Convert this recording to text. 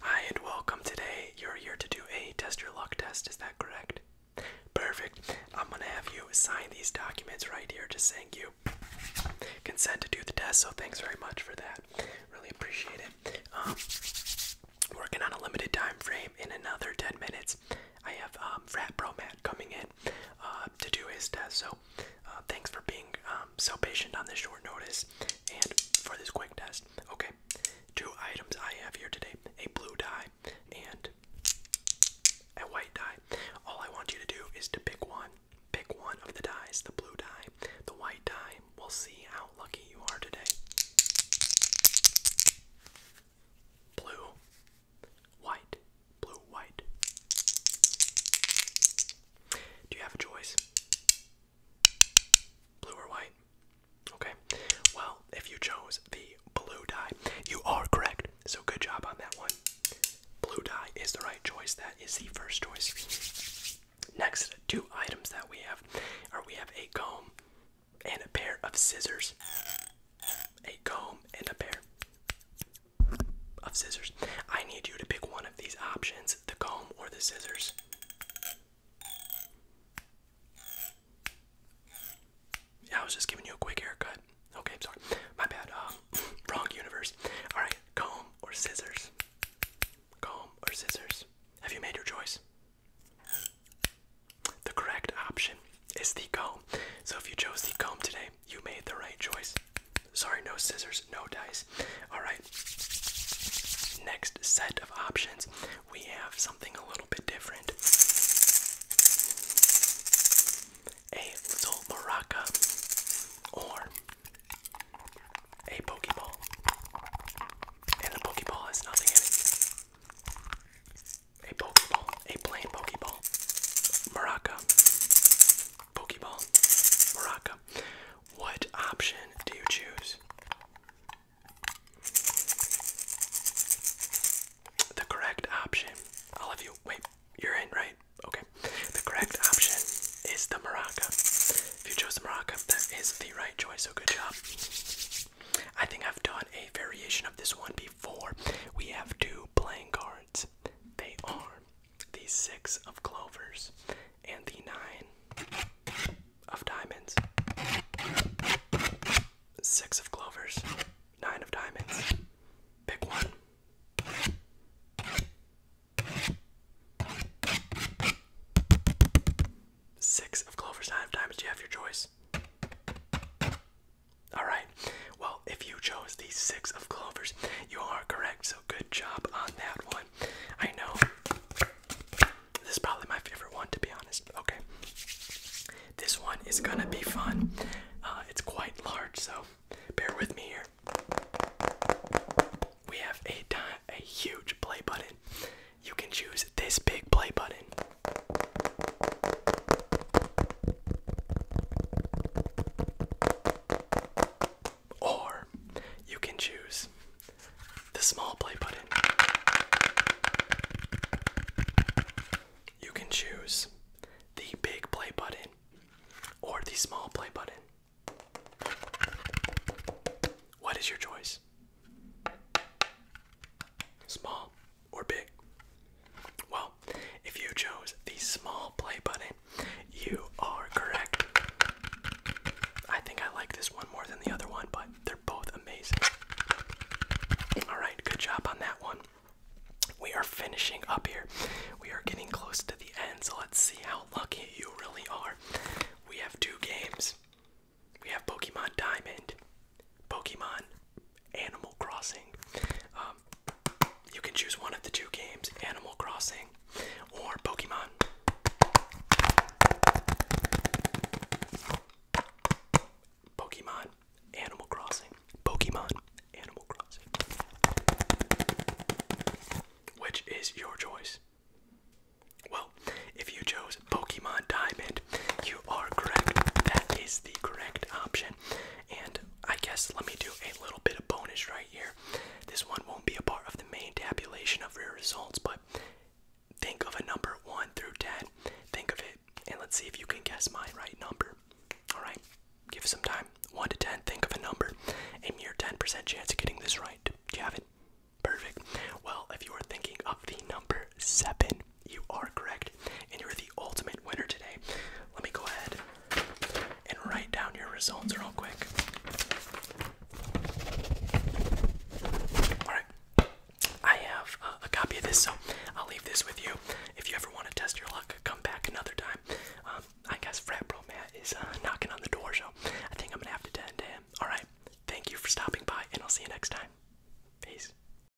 Hi and welcome today. You're here to do a test your luck test, is that correct? Perfect. I'm gonna have you sign these documents right here just saying you consent to do the test, so thanks very much for that. Really appreciate it. Um, working on a limited time frame in another 10 minutes. I have um, Frat Bro Matt coming in uh, to do his test, so uh, thanks for being um, so patient on this short notice. And for this quick test, okay, two items I have here today a blue die and a white die. All I want you to do is to pick one. Pick one of the dyes the blue die, the white die. We'll see how lucky you are today. Blue, white, blue, white. Do you have a choice? Blue or white? Okay. Well, if you chose the blue dye, you are correct. So good job on that one. Blue dye is the right choice. That is the first choice. Next, two items that we have are we have a comb and a pair of scissors. A comb and a pair of scissors. I need you to pick one of these options the comb or the scissors. Yeah, I was just giving you a quick haircut. Okay, sorry. My bad. Um, wrong universe. All right, comb or scissors. Comb or scissors. Have you made your choice? The correct option is the comb. So if you chose the comb today, you made the right choice. Sorry, no scissors, no dice. All right. Next set of options, we have something a little bit different. A little maraca or a Pokeball. And a Pokeball has nothing in it. A Pokeball, a plain Pokeball. Maraca. Pokeball, Maraca. What option do you choose? The correct option. All of you, wait, you're in, right? Okay. The correct option is the Maraca. If you chose the Maraca, that is the right choice, so good job. I think I've done a variation of this one before. We have two playing cards. They are the six of clovers, and the nine of diamonds. Six of clovers, nine of diamonds. Pick one. Six of clovers, nine of diamonds. You have your choice. All right. Well, if you chose the six of clovers, you are correct. So good job on that one. I know this is probably my favorite one to be honest. Okay, this one is gonna be fun. Uh, it's quite large, so bear with me here. We have a a huge play button. You can choose this big play button. Or you can choose the small play button. You can choose the big play button or the small play button. What is your choice? Small or big? Well, if you chose the small play button, you are correct. I think I like this one more than the other one, but they're both amazing. Alright, good job on that one. We are finishing up here. We are getting close to the end, so let's see how lucky you really are. We have two games. We have Pokemon Diamond, Pokemon Animal Crossing. Um, you can choose one of the two games Animal Crossing or Pokemon. Pokemon, Animal Crossing. Pokemon, Animal Crossing. Which is your choice? Well, if you chose Pokemon Diamond, you are correct. That is the correct option. And I guess let me do a little bit of bonus right here. This one won't be a part of the main tabulation of rare results, but think of a number 1 through 10. Think of it, and let's see if you can guess my right number. Alright, give some time. 1 to 10, think of a number. A mere 10% chance of getting this right. Do you have it? Perfect. Well, if you are thinking of the number 7, you are correct, and you're the ultimate winner today. Let me go ahead and write down your results real quick. Alright, I have uh, a copy of this, so I'll leave this with you. If you ever want to test your luck, come back another time. Um, I guess Frat Bro Matt is uh, knocking on the door, so I think I'm gonna have to tend to him. Alright, thank you for stopping by, and I'll see you next time. Peace.